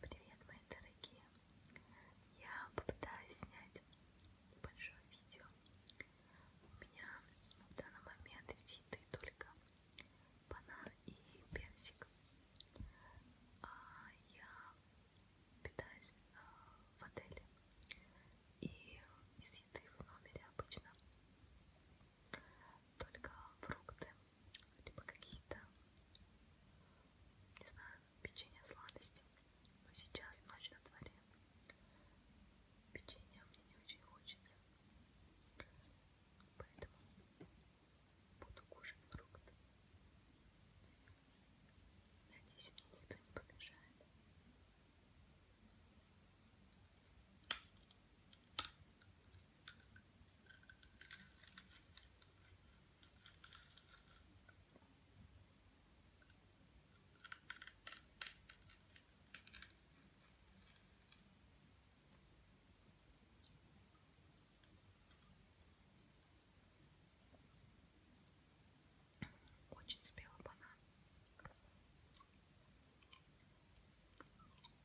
Привет, мои дорогие! Я попытаюсь снять небольшое видео. У меня в данный момент из еды только банан и персик. А я питаюсь а, в отеле. И из еды в номере обычно только фрукты либо какие-то, не знаю, печенья, сладости. Но сейчас ночь на дворе. Печенья мне не очень хочется. Поэтому буду кушать фрукты. Надеюсь, мне никто не помешает. Очень спелый банан.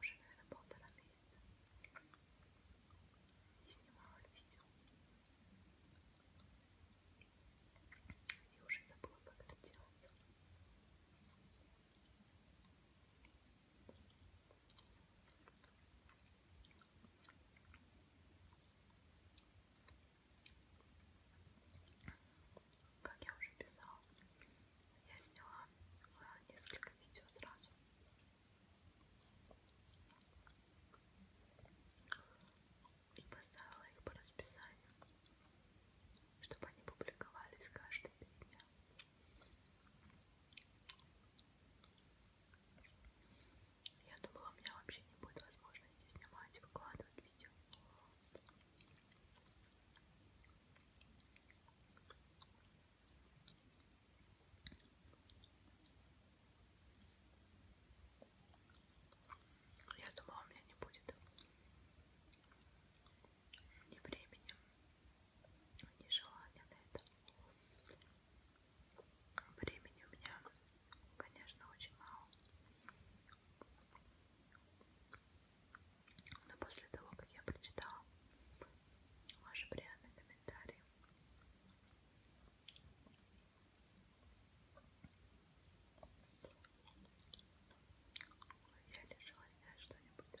Уже, наверное, полтора месяца не снимала видео. И уже забыла, как это делается как я уже писала, я сняла э, несколько видео сразу. И поставила их по расписанию, чтобы они публиковались каждый день. Я думала, у меня вообще не будет возможности снимать, выкладывать видео. Ну, я думала, у меня не будет ни времени, ни желания на это. Времени у меня, конечно, очень мало. Но после того, как я прочитала ваши приятные комментарии, я решила снять что-нибудь.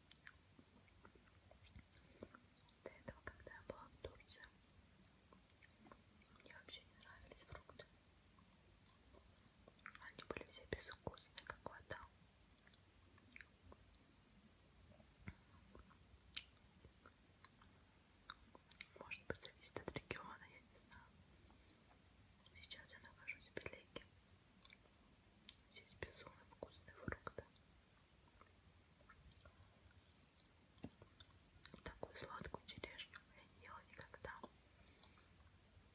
До этого, когда я была в Турции, мне вообще не нравились фрукты. Они были все безвкусные, как вода. Может быть, зависит от региона, я не знаю. Сейчас я нахожусь в Белеке. Здесь безумно вкусные фрукты. Такую сладкую черешню я не ела никогда.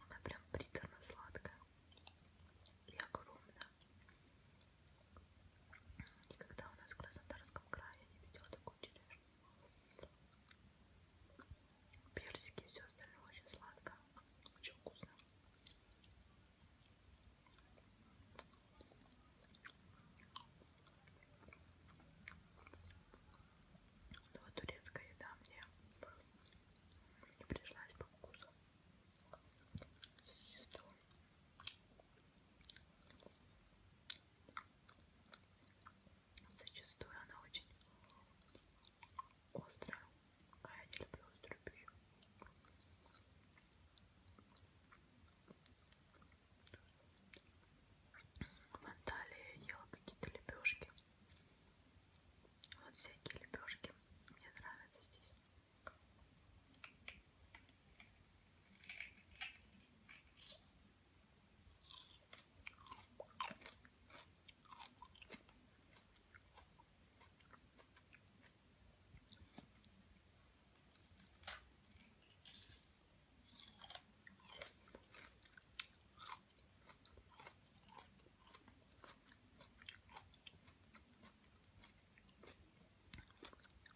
Она прям приторно сладкая и огромная. Никогда у нас в Краснодарском крае я не видела такую черешню. Персики и все остальное очень сладко, очень вкусно. Но вот турецкая еда мне не пришлась по вкусу. Существую. Зачастую она очень острая, а я не люблю острую пищу. В Анталии ела какие-то лепешки. Вот всякие лепешки. Мне нравятся здесь.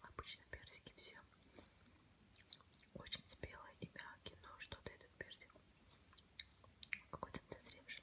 Обычно персики все очень спелые и мягкие, но что-то этот персик какой-то дозревший.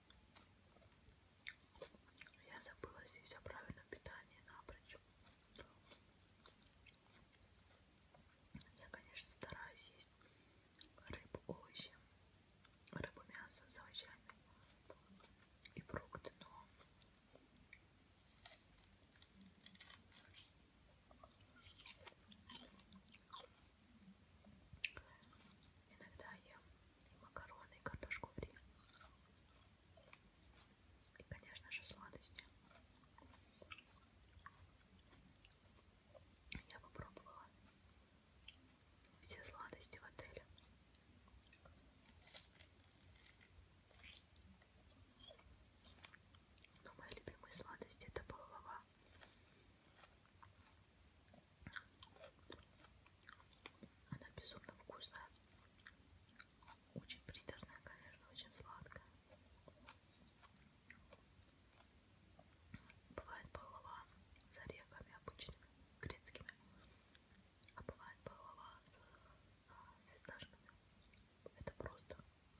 Я забыла здесь о правильном питании напрочь. Я, конечно, стараюсь есть рыбу, овощи, рыбу, мясо с овощами и фрукты, но Иногда ем и макароны, и картошку фри. И, конечно же, сладости. Я попробовала все сладости в отеле. Но мои любимые сладости это пахлава она безумно вкусная. Очень приторная, конечно, очень сладкая. Бывает пахлава с орехами обычными, грецкими. А бывает пахлава с, а, с фисташками. Это просто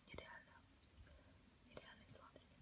нереально. Нереальные сладости.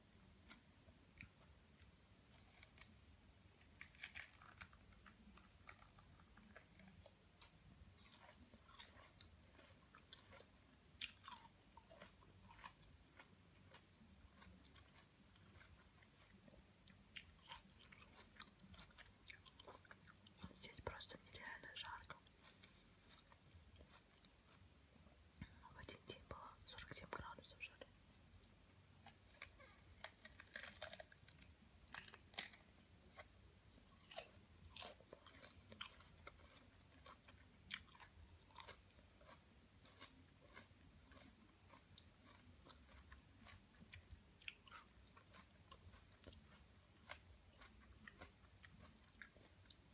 Здесь просто нереально жарко. В один день было 47 градусов жары.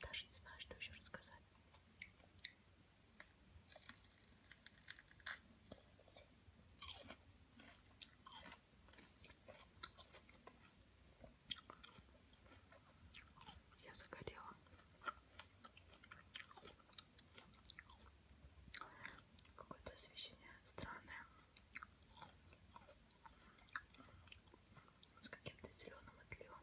Даже не знаю, что еще рассказать. Я загорела. Какое-то освещение странное. С каким-то зеленым отливом.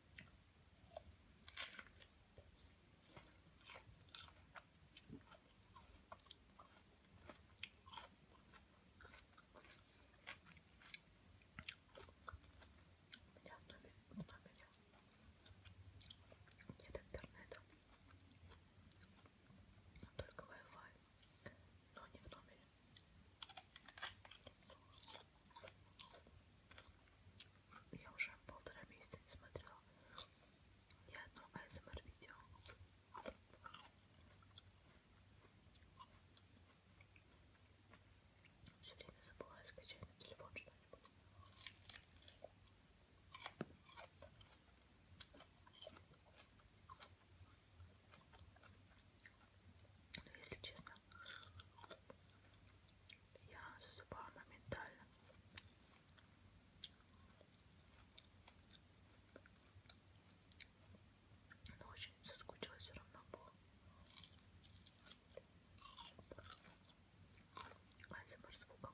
меня в номере, в номере нет интернета, только Wi-Fi, но не в номере. Я уже полтора месяца не смотрела ни одно ASMR-видео. Все время забываю скачать на телефон что-нибудь. Но ну, если честно, я засыпала моментально. Но очень соскучилась все равно по АСМР звукам.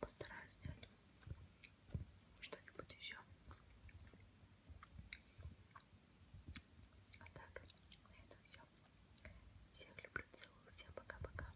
Постараюсь снять что-нибудь еще. А так, на этом все. Всех люблю, целую, всем пока-пока.